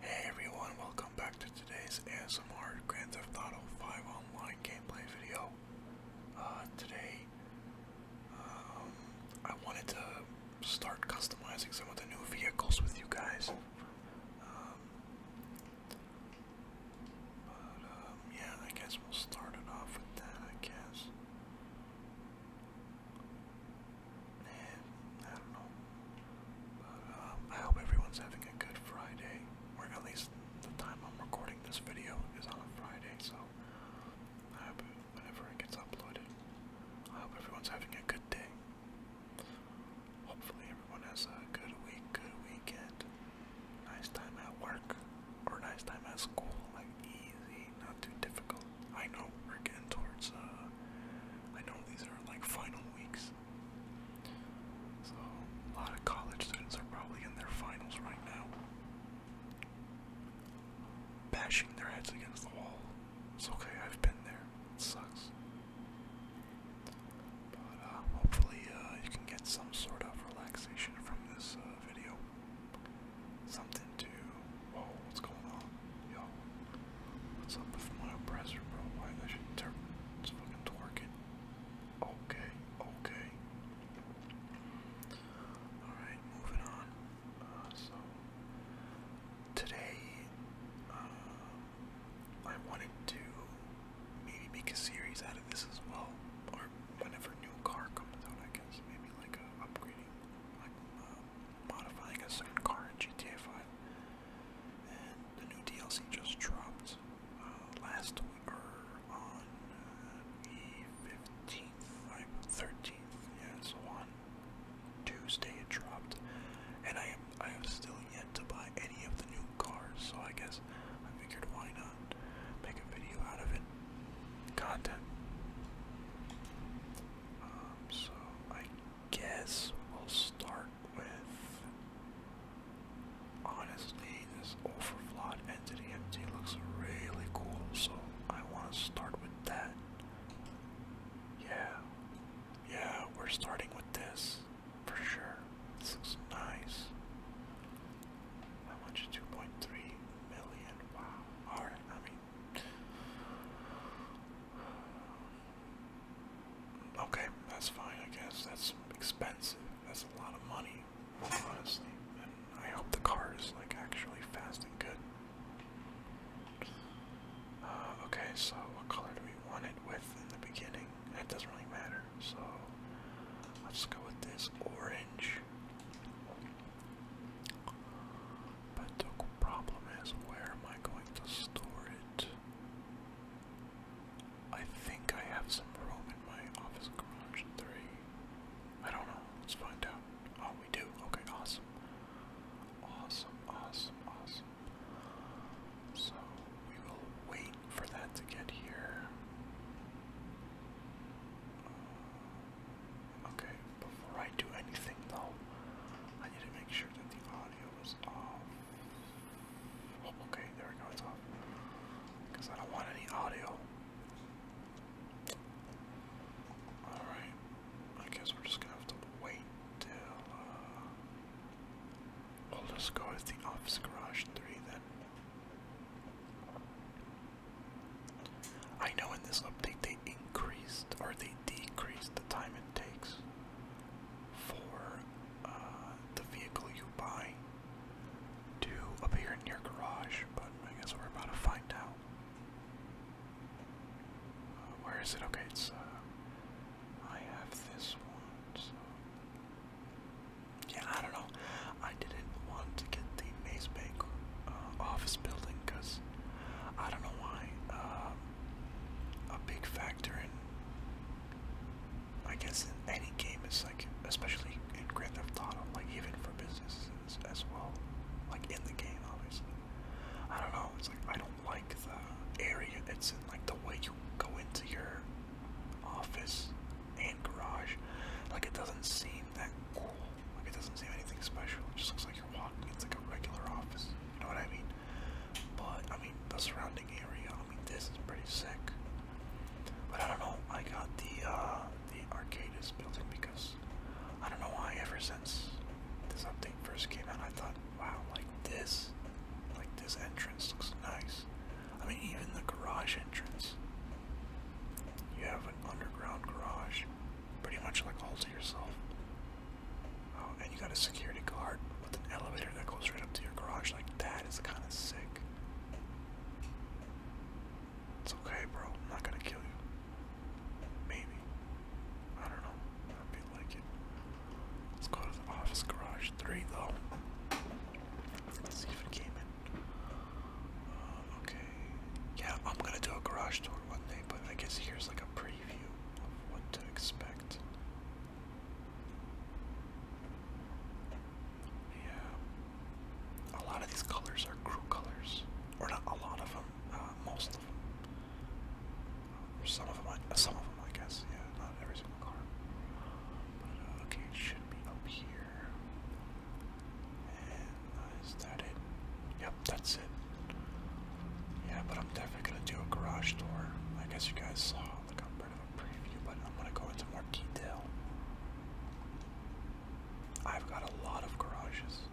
Hey everyone, welcome back to today's ASMR Grand Theft Auto 5 Online gameplay video. Uh, today, um, I wanted to start customizing some of the new vehicles with you guys. Um, but, um, yeah, I guess we'll start it off with that, I guess. I don't know. But um, I hope everyone's having a good Friday, or at least the time I'm recording this video is on a Friday, so I hope whenever it gets uploaded, I hope everyone's having a good day. Hopefully everyone has a good week, good weekend, nice time at work, or nice time at school, like easy, not too difficult. I know we're getting towards uh, I know these are like final weeks. So, a lot of college students are probably in their finals right now, bashing their heads against the wall. It's okay, I've been there. It sucks. But uh, hopefully, uh, you can get some sort of relaxation from this uh, video. Something to Whoa, oh, what's going on? Yo, what's up with my oppressor, bro? Why I should turn it's fucking twerking. Okay, okay. Alright, moving on. Uh, so today uh, I wanted to maybe make a series out of this as well. Or whenever new car comes out, I guess. Maybe like upgrading like uh, modifying a certain car in GTA 5 the new DLC just dropped uh, last week, or on uh, the 15th, I, 13th, yeah, so on Tuesday it dropped. And I am, I am still yet to buy any of the new cars, so I guess I figured why not make a video out of it. Content. Um, so I guess we'll start with honestly this overflawed entity empty looks really cool so I want to start with that yeah yeah we're starting with this for sure this looks nice how much 2.3 million wow all right I mean Okay, that's fine, I guess. That's expensive. That's a lot of money, honestly. And I hope the car is like actually fast and good. Uh, okay, so what color do we want it with in the beginning? It doesn't really matter. So let's go with this orange. But the problem is, where am I going to store it? I think I have some room in my office garage 3. I don't know. Let's find out. Oh, we do. Okay, awesome. Awesome, awesome, awesome. So, we will wait for that to get here. Uh, okay, before I do anything though, I need to make sure that the audio is off. Oh, okay, there we go, off. Because I don't want any audio. Alright, I guess we're just gonna have to wait till, uh... We'll just go with the Office Garage 3 then. I know in this update they increased, or they decreased the time it takes for uh, the vehicle you buy to appear in your garage, but I guess we're about to find out. Uh, where is it? Okay, it's. Uh, I have this one. So. Yeah, I don't know. I didn't want to get the Maze Bank uh, office building because I don't know why. Um, a big factor in, I guess, in any game. It's like, especially in Grand Theft Auto, like even for businesses as well, like in the game, obviously. I don't know. It's like I don't like the area it's in, like the way you go into your office and garage. Like it doesn't seem that cool. Like it doesn't seem anything special. It just looks like you're walking. It's like a regular office. You know what I mean? But I mean the surrounding area. I mean this is pretty sick. But I don't know. I got the uh, the Arcadis building because I don't know why. Ever since this update first came out, I thought, wow, like this, like this entrance looks nice. I mean even the garage entrance. You have an underground garage, pretty much like all to yourself. Oh, and you got a security guard with an elevator that goes right up to your garage. Like, that is kind of sick. It's okay, bro. I'm not gonna kill you. Maybe. I don't know. I feel like it. Let's go to the office garage. Three, though. Let's see if it came in. Uh, okay. Yeah, I'm gonna do a garage tour one day, but I guess here's like a preview of what to expect. Yeah. A lot of these colors are crew colors. Or not a lot of them, uh, most of them. some of them, some of them, I guess. Yeah, not every single car. Uh, okay, it should be up here is that it? Yep, that's it. Yeah, but I'm definitely gonna do a garage door. I guess you guys saw the a of a preview, but I'm gonna go into more detail. I've got a lot of garages.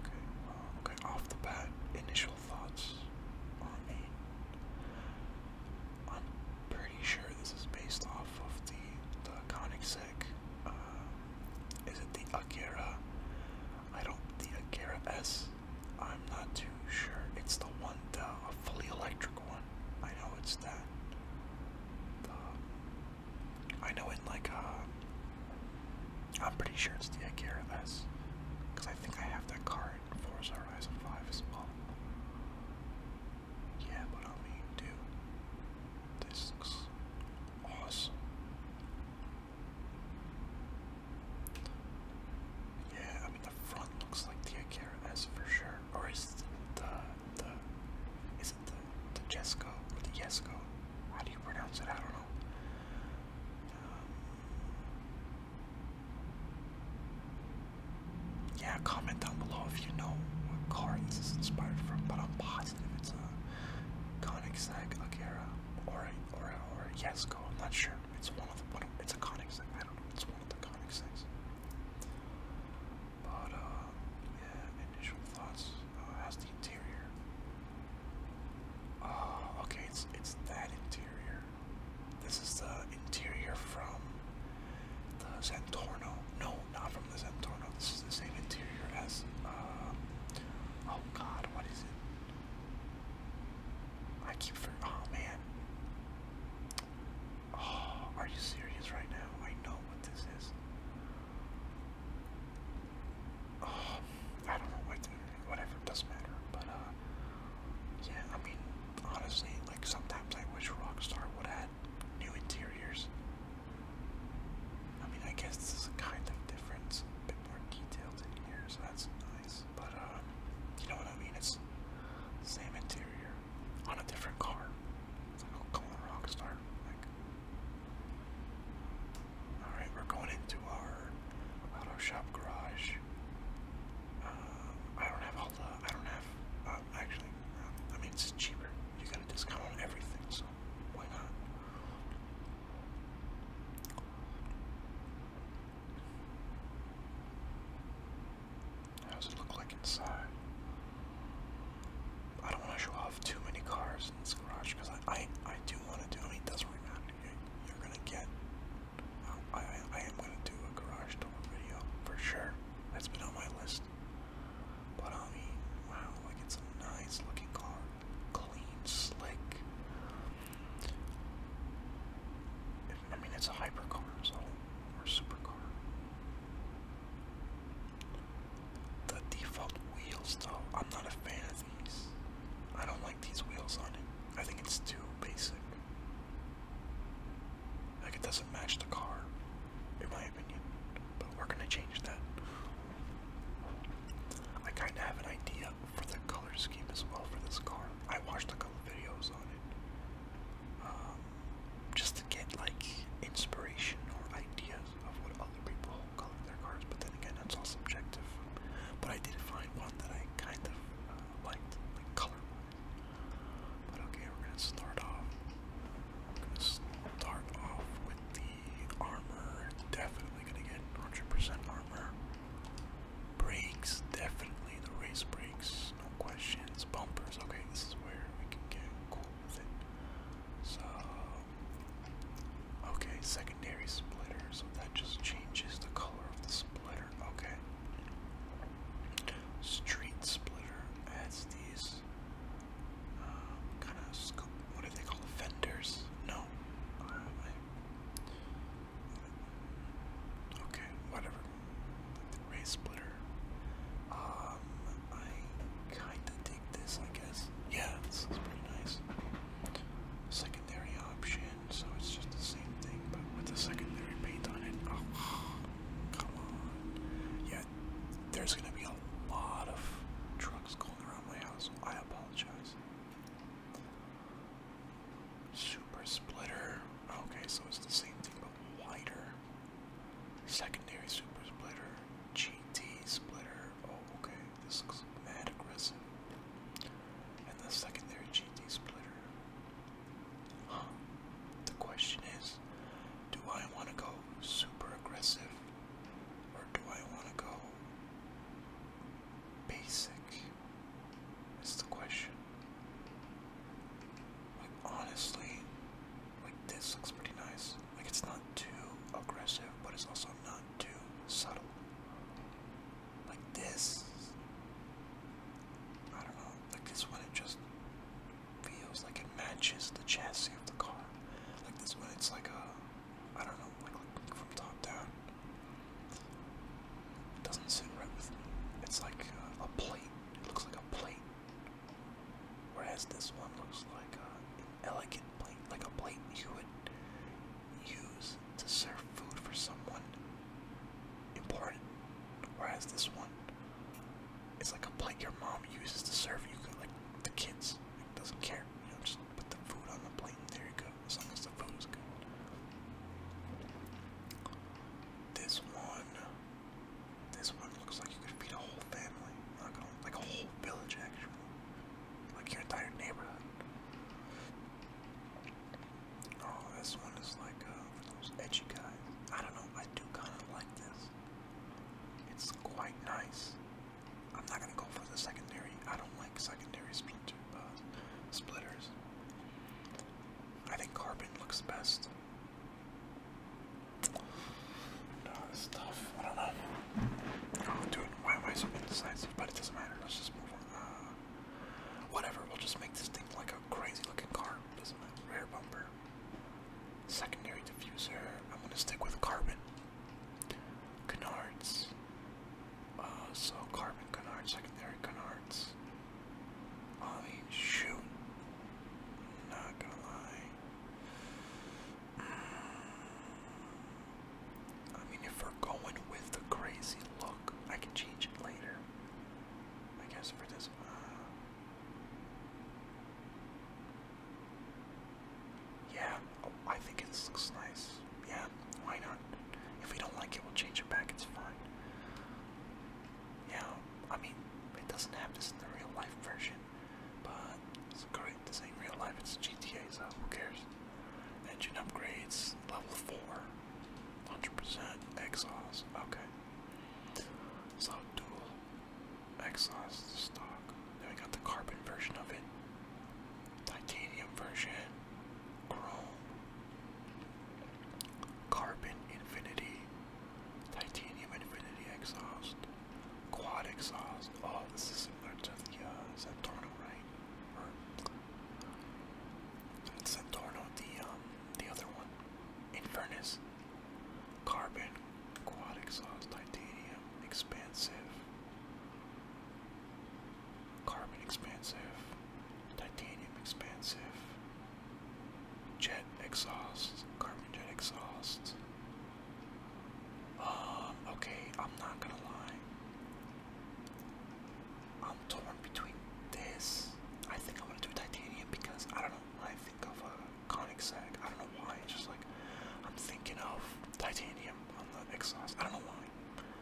okay, uh, okay. Off the bat, initial thoughts on me. I'm pretty sure this is based off of the the Koenigsegg is it the Akira? I don't. The Akira S? I'm not too sure. It's the one, the fully electric one. I know it's that. The, I know it like, uh, I'm pretty sure it's the Akira S. Because I think I have that card in Forza Horizon 5 as well. Yeah, but I mean, dude, this awesome. Yeah, I mean the front looks like the Akira S for sure. Or is it the the is it the the Jesco or the Jesco? How do you pronounce it? I don't know. Um, yeah, comment down below if you know what car this is inspired from, but I'm positive it's a Conic Sack, Akira, or Aura, or Yasko, I'm not sure. It's one of the, one of, it's a Conic I don't know, it's one of the Conic But, uh, yeah, initial thoughts, uh, how's the interior? Oh, okay, it's, it's that interior. This is the interior from the Santorno, no, not from the Centorno. This is the same interior as. Uh, oh God, what is it? I keep for. Oh man. Oh, are you serious right now? I know what this is. Oh, I don't know what. To, whatever doesn't matter. But uh, yeah. I mean, honestly, like sometimes I wish Rockstar would add new interiors. I mean, I guess this is a kind of difference, a bit more detailed in here, so that's nice. But uh, you know what I mean? It's same interior on a different car. It's like, oh, come on, Rockstar. Like, all right, we're going into our auto shop garage. Uh, I don't have all the. I don't have. Uh, actually, uh, I mean, it's cheaper. You got a discount on everything, so why not? it look like inside? I don't want to show off too many cars in this garage because I, I I do want to do. I mean, You're, gonna get. Um, I, I I am gonna do a garage tour video for sure. That's been on my list. But I mean, wow, like it's a nice looking car. Clean, slick. I mean, it's a hypercar, so, or supercar. The default wheels, though, I'm not a fan of these. I don't like these wheels on it. I think it's too basic. Like, it doesn't match the car in my opinion. But we're gonna change that. I kind of have an idea for the color scheme as well for this car. I watched a couple videos on it, um, just to get like inspiration or ideas of what other people color their cars. But then again, that's all subjective. But I did find one that I kind of uh, liked, like color-wise. But okay, we're gonna start off. We're gonna start off the armor. Definitely gonna get 100% armor. Brakes, definitely the race brakes, no questions. Bumpers, okay, this is where we can get cool with it. So, okay, secondary splitter, that just changes the color of the splitter, okay. Street splitter adds these um, kind of scoop. What do they call it? No. Uh, okay, whatever. the ray splitter. Um, I kind of dig this, I guess. Yeah, this pretty nice. Secondary option, so it's just the same thing, but with the secondary paint on it. Oh, come on. Yeah, there's going to be a lot of trucks going around my house. I apologize. Super splitter. Okay, so it's the same thing but wider. Secondary super splitter. GT splitter. Oh, okay. This looks mad aggressive. And the secondary GT splitter. The question is, do I want to go super aggressive or do I want to go basic? Is the question. Like, honestly, like this looks pretty nice. Like, it's not too aggressive, but it's also not too subtle. Like, this. I don't know. Like, this one, it just feels like it matches the chassis of the car. Like this one, it's like a, I don't know, like, from top down. It doesn't sit right with me. It's like a, plate. It looks like a plate. Whereas this one looks like a, an elegant plate, like a plate you would use to serve food for someone important. Whereas this one it's like a plate your mom uses to serve you, like the kids. doesn't care. You know, just put the food on the plate and there you go. As long as the food is good. This one, this one looks like you could feed a whole family, like a, whole village actually, like your entire neighborhood. Oh, this one is like uh, for those edgy guys. I don't know. I do kind of like this. It's quite nice. I'm not gonna go for the secondary. I don't like secondary splinter, uh, splitters. I think carbon looks best. No, it's tough. I don't know. Oh, dude, why am I so indecisive? But it doesn't matter. Let's just move on. Uh, whatever. We'll just make this thing like a crazy-looking car. Doesn't matter. Rear bumper. Secondary diffuser. I'm gonna stick with carbon. Canards. Uh, so carbon canard, secondary canards. I mean, shoot. Not gonna lie. Mm. I mean, if we're going with the crazy look, I can change it later. I guess for this. Uh, yeah, I think it looks nice. Yeah, why not? If we don't like it, we'll change it back, it's fine. Yeah, I mean, it doesn't have this in the real life version, but it's great. This ain't real life, it's GTA, so who cares? Engine upgrades, level 4, 100% exhaust, okay. So, dual Exos stock. Then we got the carbon version of it, titanium version, chrome, carbon infinity, titanium infinity exhaust, quad exhaust. Oh, this is similar to the uh, right? Or Santorno, the um, the other one, Inverness. Carbon, quad exhaust, titanium, expansive. Carbon expansive, titanium expansive, jet exhaust, carbon jet exhaust. Um, okay, I'm not gonna lie. I'm torn between this. I think I'm gonna do titanium because I don't know. I think of a uh, conic sag. I don't know why. It's just like I'm thinking of titanium on the exos. I don't know why.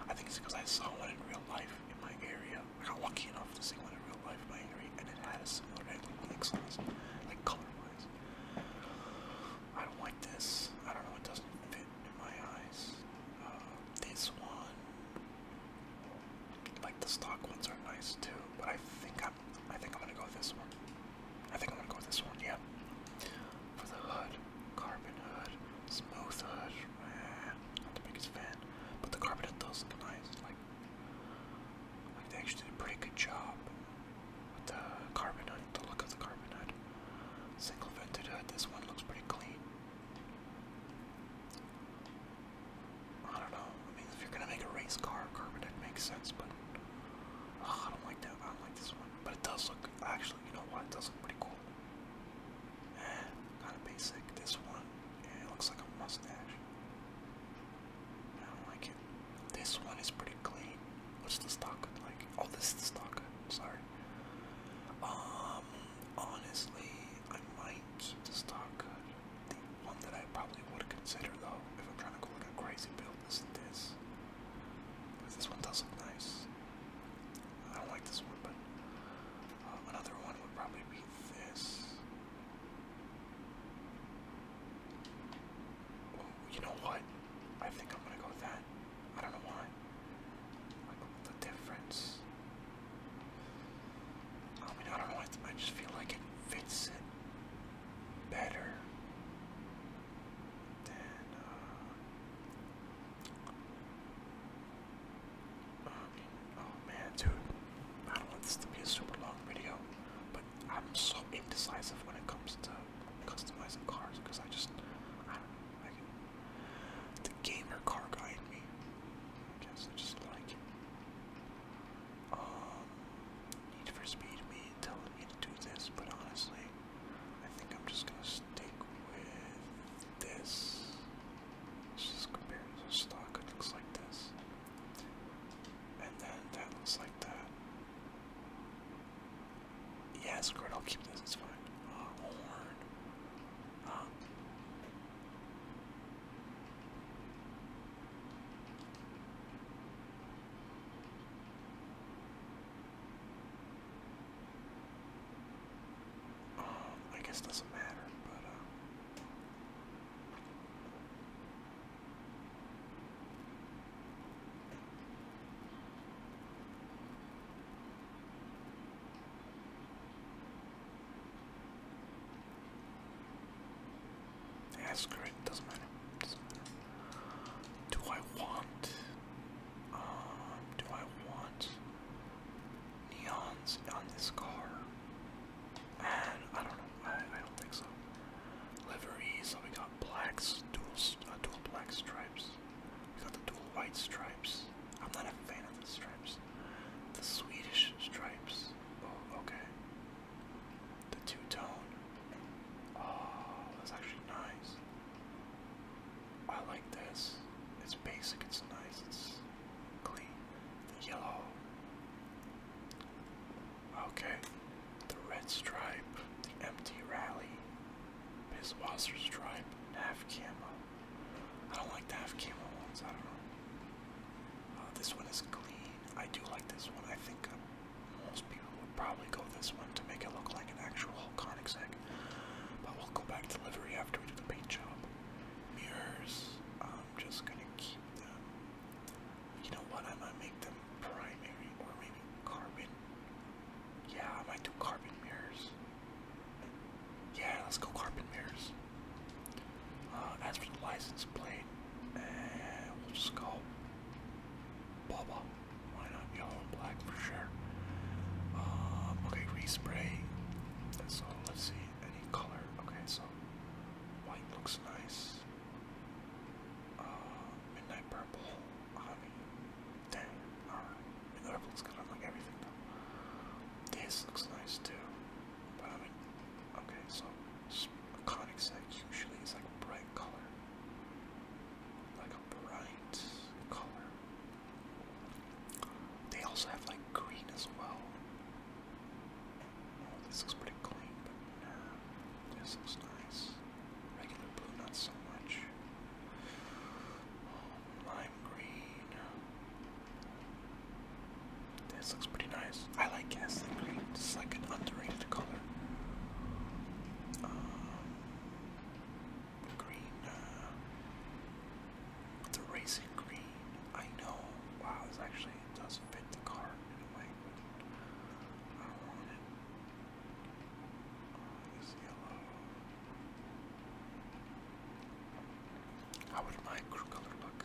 I think it's because I saw one in real life in my area. I got lucky enough to see one in real life in my area, and it had a similar exhaust, like color-wise. I don't like this. I don't know. It doesn't fit in my eyes. Uh, this one, like the stock ones, are nice too. But I think I am I think I'm gonna go with this one. I think I'm gonna go with this one, yeah. For the hood, carbon hood, smooth hood, eh, not the biggest fan. But the carbon hood does look nice. Like, like they actually did a pretty good job with the carbon hood, the look of the carbon hood. Single vented hood, this one looks pretty clean. I don't know. I mean, if you're gonna make a race car, Carbonite makes sense, but I don't like that. I don't like this one. But it does look actually. You know what? It does look pretty cool. Eh, kind of basic. This one, yeah, it looks like a mustache. I don't like it. This one is pretty clean. What's the stock like? Oh, this is the stock. Sorry. Um, honestly, I might keep the stock. The one that I probably would consider though, if I'm trying to go like a crazy build, is this. Because this one does look nice. I don't like this one, but um, another one would probably be this. Oh, you know what? I think I'm gonna go with that. I don't know why. the difference. I mean, I don't know. I just feel like it fits it better than uh, oh man dude I don't want this to be a super long video but I'm so indecisive when it comes to customizing cars because I just I don't know I can the gamer car guy in me I guess I just like it um, need for Speed me telling me to do this, but honestly, I think I'm just gonna stick with this. just compare the stock. It looks like this, and then that looks like that. Yeah, screw I'll keep this. It's fine. Uh, horn. Um, um, I guess it doesn't matter, but uh, yeah, screw it, doesn't matter. Do I want um, do I want neons on this car? And I don't know, I, don't think so. Livery, so we got blacks, dual uh, dual black stripes. We got the dual white stripes. I'm not a fan of the stripes. The Swedish stripes. Oh, okay. The two tone. Oh, that's actually nice. I like this. It's basic, it's nice, it's clean. The yellow. Okay. The red stripe. The empty rally. Biswasser stripe. Half camo. I don't like the half camo ones, I don't know. Uh, this one is clean. I do like this one. I think uh, most people would probably go this one to make it look like an actual Harconic egg. But we'll go back to livery after we do the paint job. Mirrors, I'm just gonna keep them. You know what? I am gonna make them primary or maybe carbon. Yeah, I might do carbon mirrors. Yeah, let's go carbon mirrors. Uh, as for the license plate, eh, we'll just go Bubba. Why not yellow and black for sure? Um, okay, respray. So let's see any color. Okay, so white looks nice. Uh, midnight purple. Dang. Alright. Midnight purple's good on like everything though. This looks nice too. But I okay, so conic sac usually is like a bright color, like a bright color. They also have like green as well. Oh, this looks pretty clean, but this looks nice. Regular blue, not so much. Oh, lime green. This looks pretty nice. I like Gaslight Green. It's like an underrated color. Um, green. Uh, racing green. I know. Wow, this actually does fit the car in a way, I do oh, this yellow. How would my crew color look?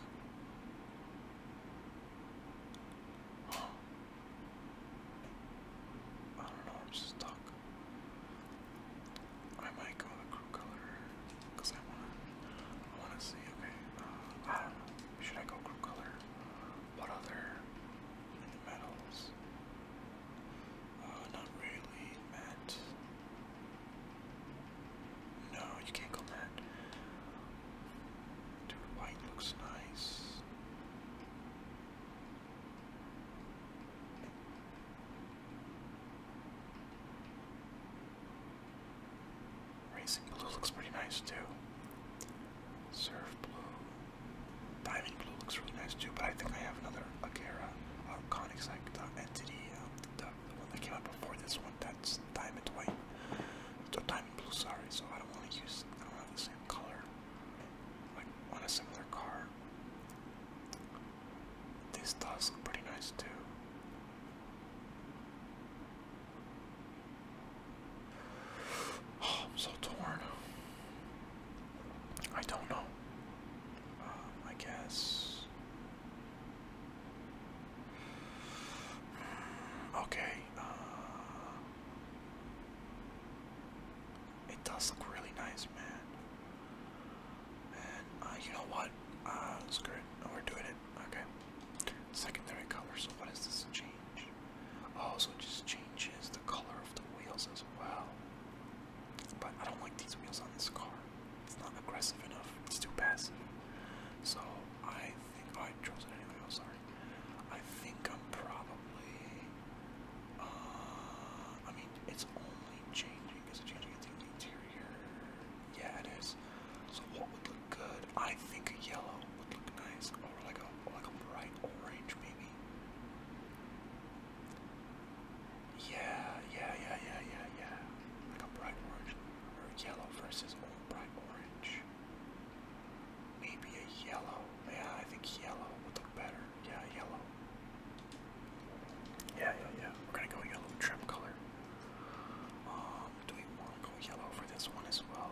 I don't know, I'm stuck. I might go crew color because I want to see. Okay, uh, I don't know. Should I go crew color? What other metals? Uh, not really. Matte. No, you can't go mad. white looks nice. Racing blue looks pretty nice too. Surf blue. Diamond blue looks really nice too, but I think I have another Akira, uh, Conics, like entity, um, the one that came out before this one, that's diamond white. So diamond blue, sorry, so I don't want to use, I don't have the same color, like on a similar car. This does look pretty nice too. Oh, I'm so torn. I don't know. Uh, I guess Okay. Uh, it does look really nice, man. And uh, you know what? Uh, screw we're doing it. Okay. Secondary color. what does this change? Oh, it just changes the color of the wheels as well. But I don't like these wheels on this car. It's not aggressive enough. It's too passive. So I think oh, I chose it anyway. I'm oh, sorry. I think I'm probably. Uh, I mean, it's only changing. Is it changing into the interior? Yeah, it is. So what would look good? I think a yellow would look nice, or like a or like a bright orange maybe. Yeah, yeah, yeah, yeah, yeah, yeah. Like a bright orange or yellow versus orange bright orange. Maybe a yellow. Yeah, I think yellow would look better. Yeah, yellow. Yeah, yeah, yeah. We're gonna go yellow trim color. Um, do we want to go yellow for this one as well?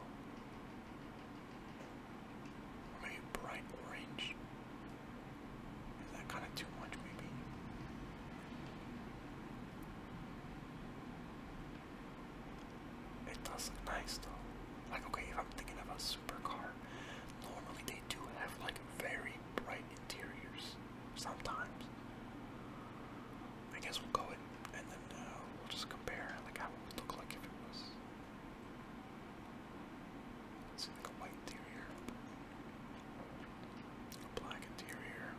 Or maybe bright orange. Is that kind of too much? Maybe. It does look nice though. Like okay, if I'm thinking of a supercar, normally they do have like very bright interiors sometimes. I guess we'll go in and then uh, we'll just compare like how it would look like if it was see like a white interior. A black interior.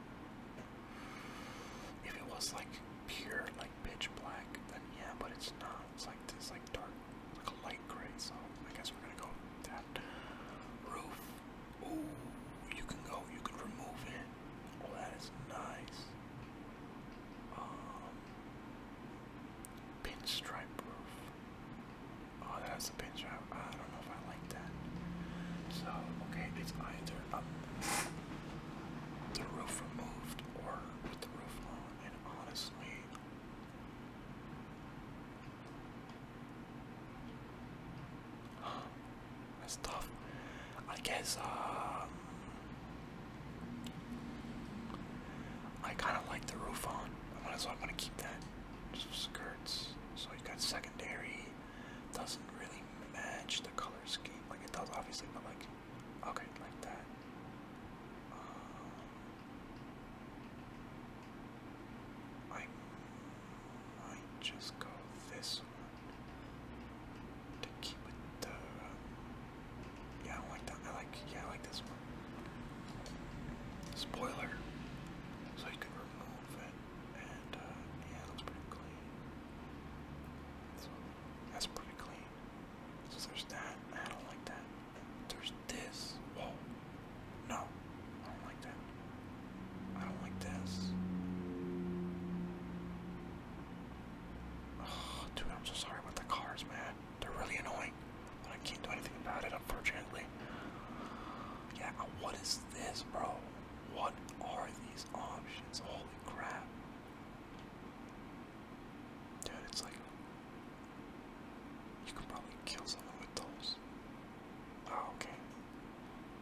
If it was like pure, like pitch black, then yeah, but it's not. It's like it's like dark, like a light gray. So I guess we're gonna go that roof. Ooh, you can go. You could remove it. Oh, that is nice. Um, stripe roof. Oh, that's a stripe. I don't know if I like. So, okay, it's either up the roof removed or with the roof on, and honestly, that's tough. I guess, um, I kind of like the roof on, so I'm gonna keep that. skirts. So you got secondary doesn't really match the color scheme. Like it does obviously, but like okay, like that. Um, I might just go this one to keep it. Uh, yeah, I like that. I like yeah, I like this one. Spoiler, so you can remove it. And uh, yeah, it pretty clean. So that's pretty clean. So there's that. I don't like that. There's this. Whoa. No. I don't like that. I don't like this. dude, I'm so sorry about the cars, man. They're really annoying. But I can't do anything about it, unfortunately. Yeah, what is this, bro? What are these options? Holy crap. Dude, it's like. You could probably kill someone with those. Oh, okay.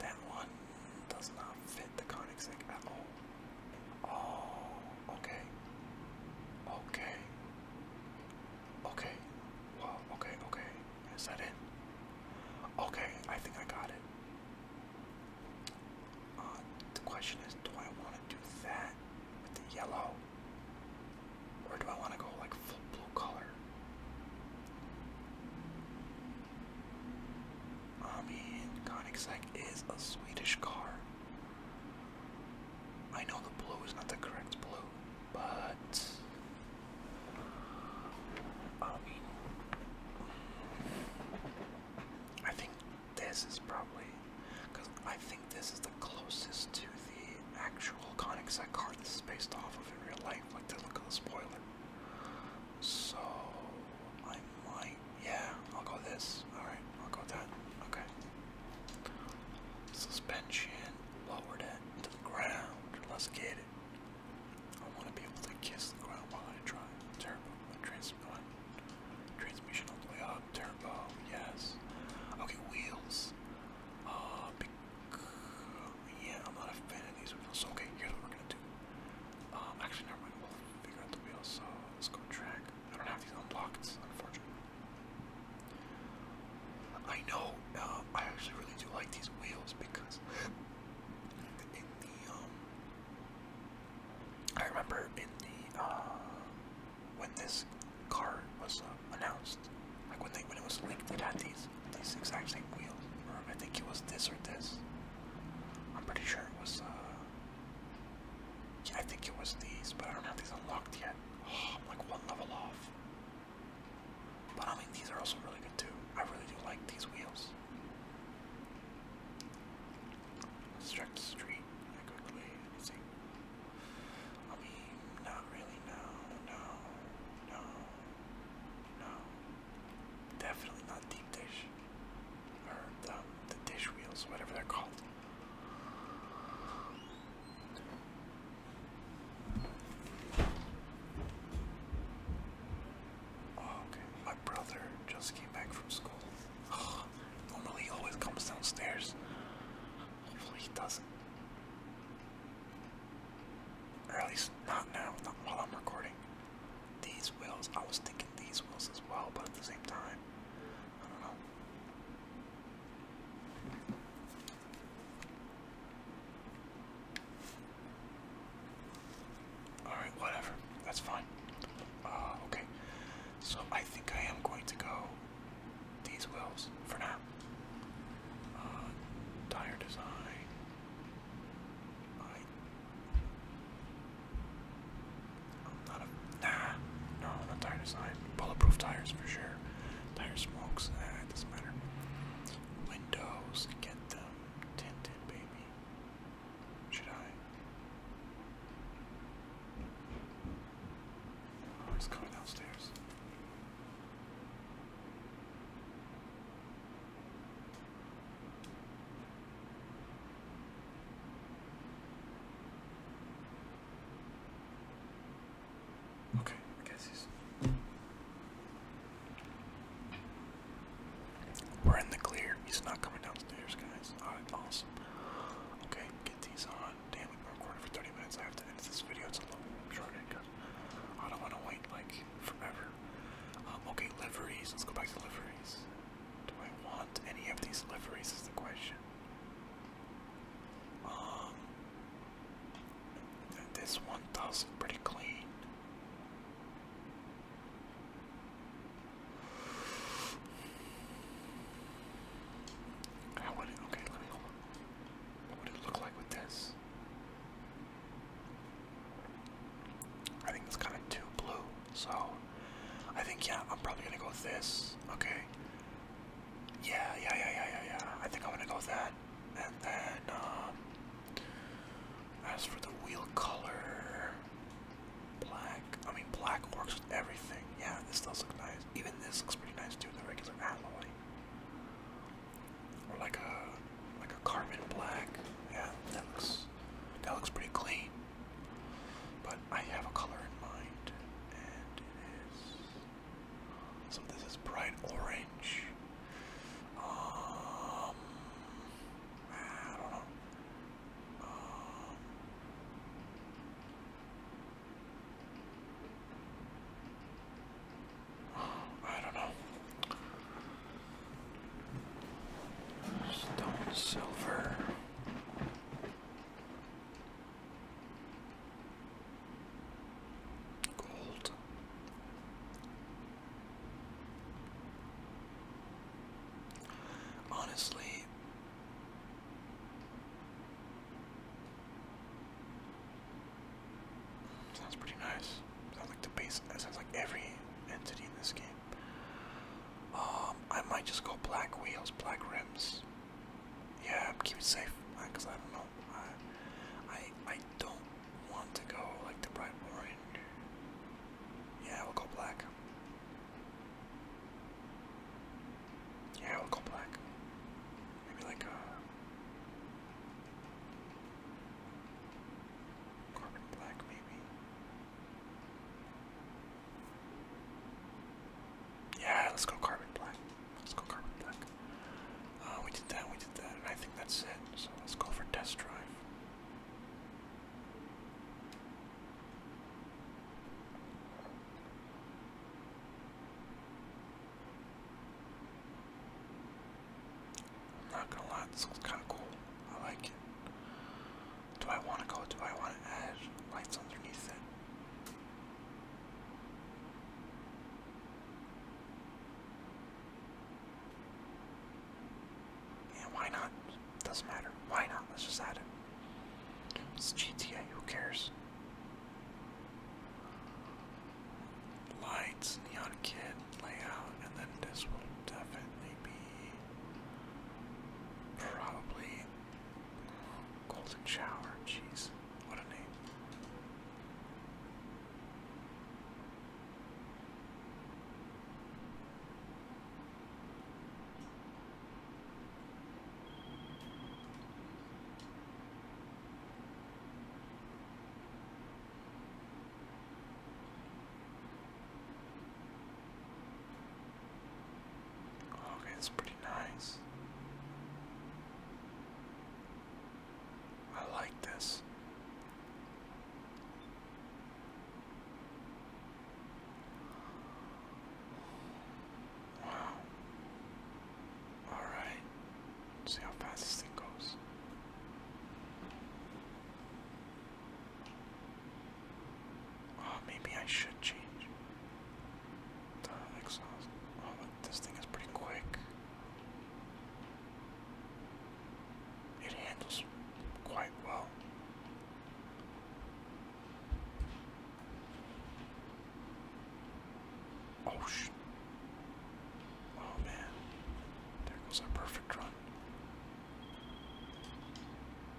That one does not fit the Koenigsegg at all. Oh, okay. Okay. Okay. Wow, okay, okay. Is that it? Okay, I think I got it. Uh, the question is, do I want to do that with the yellow? Or do I want to go like full blue color? I mean, Koenigsegg is a Swedish car. I know the blue is not the correct blue, but I mean, I think this is probably because I think this is the closest to the actual Conic card this based off of in real life, like the look of the spoiler. So I might, yeah, I'll go this. All right, I'll go that. Okay. Suspension, lowered to the ground. Let's get it. I want to be able to kiss the ground while I drive. Turbo, trans transmission all the way up. Turbo, oh, yes. Okay, wheels. Uh, big, yeah, I'm not a fan of these wheels. So, okay, here's what we're gonna do. Um, actually, never mind. We'll figure out the wheels. So let's go track. I don't have these unlocked, unfortunately. I know. Uh, I actually really do like these wheels because in the um I remember in the uh when this car was uh, announced, like when they when it was leaked, it had these these exact same wheels. Or I think it was this or this. I'm pretty sure it was. uh I think it was these, but I don't have these unlocked yet. I'm like one level off. But I mean, these are also really good too. I really do like these wheels. Let's check the street Anything? I mean, not really. No, no, no, no. Definitely not deep dish or the, um, the dish wheels, whatever they're called. Oh, okay, my brother just came back from school. normally he always comes downstairs. Hopefully he doesn't. Or at least not now, not while I'm recording. These wheels, I was thinking these wheels as well, but at the same time, I don't know. Alright, whatever. That's fine. Uh, okay. So I think I am going to go these wheels for now. Uh, tire design. I. am not a. Nah. No, not tire design. Bulletproof tires for sure. Tire smokes. doesn't matter. Windows. Again. Tinted, baby. Should I? Oh, it's coming downstairs. Okay, I guess he's. We're in the clear. He's not coming downstairs, guys. Alright, awesome. Okay, get these on. Damn, we've been recording for 30 minutes. I have to end this video. It's a little short because I don't want to wait like forever. Um, okay, liveries. Let's go back to liveries. Do I want any of these liveries? Is the question. Um, this one does pretty clean. How would it okay, let me hold on. What would it look like with this? I think it's kinda too blue, so I think yeah, I'm probably gonna go with this. Okay. Yeah, yeah, yeah, yeah, yeah, yeah. I think I'm gonna go with that. And then, um, as for the wheel color, black. I mean, black works with everything. Yeah, this does look nice. Even this looks pretty nice too. The regular alloy, or like a like a carbon black. Yeah, that looks that looks pretty clean. But I have a color in mind, and it is so this is bright orange. Um, I don't know. Um, I don't know. Stone silver. Gold. Honestly, sounds pretty nice. Sounds like the base. sounds like every entity in this game. Um, I might just go black wheels, black rims. Yeah, keep it safe, because I don't know. I, I don't want to go like the bright orange. Yeah, we'll go black. Yeah, we'll go black. Maybe like a uh, carbon black, maybe. Yeah, let's go carbon black. Let's go carbon black. Uh, we did that, we did that, I think that's it. So let's go for test drive. not gonna lie, this looks kinda cool. I like it. Do I wanna go? Do I wanna add lights underneath it? Yeah, why not? Doesn't matter. Why not? Let's just add it. It's GTA, who cares? Lights, Neon Kid layout, and then this will definitely be probably Golden Shower, jeez. What a name. Okay, it's pretty nice. I like this. Wow. Alright. See how fast this thing goes. Oh, maybe I should change. Time Oh, look, this thing is pretty quick. It handles quite well. Oh sh! Oh man, there goes our perfect run.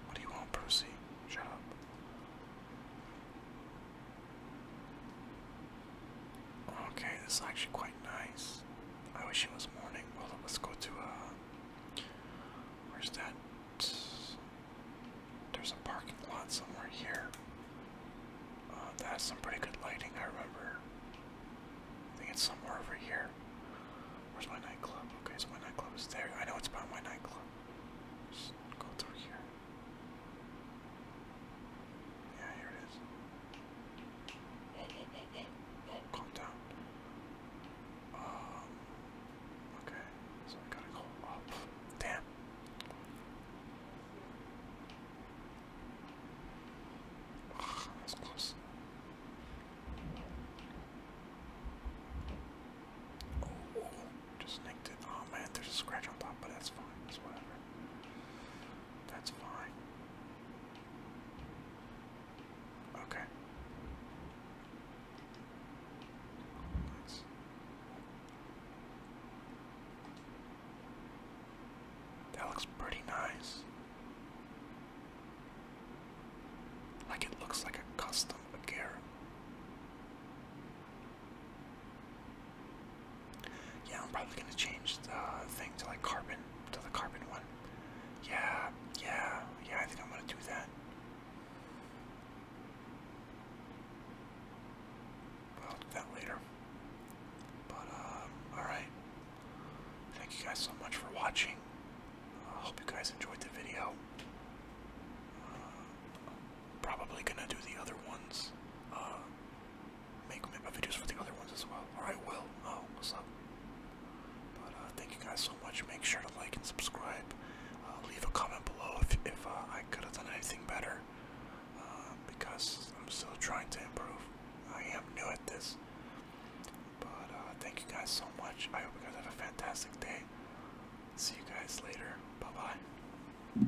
What do you want, Percy? Shut up. Okay, this is actually quite nice. I wish it was morning. Well, let's go to uh, where's that? There's a parking lot somewhere here. Uh, some pretty good lighting. I remember. I think it's somewhere over here. Where's my nightclub? Okay, so my nightclub is there. I know it's by my nightclub. Just go through here. Yeah, here it is. calm down. Um, okay, so I gotta go up. Damn. that's close. Oh, just nicked it. Oh man, there's a scratch on top, but that's fine. That's whatever. That's fine. Okay. that looks pretty nice. Like it looks like a custom Bagheera. Yeah, I'm probably gonna change the thing to like carbon, to the carbon one. Yeah, yeah, yeah, I think I'm gonna do that. But that later. But, um, alright. Thank you guys so much for watching. I hope you guys enjoyed the video. Uh, probably gonna do the other ones uh, make make my videos for the other ones as well. I will. Oh, what's up? But uh, thank you guys so much. Make sure to like and subscribe. Uh, leave a comment below if if uh, I could have done anything better. because I'm still trying to improve. I am new at this. But thank you guys so much. I hope you guys have a fantastic day. See you guys later. Bye bye.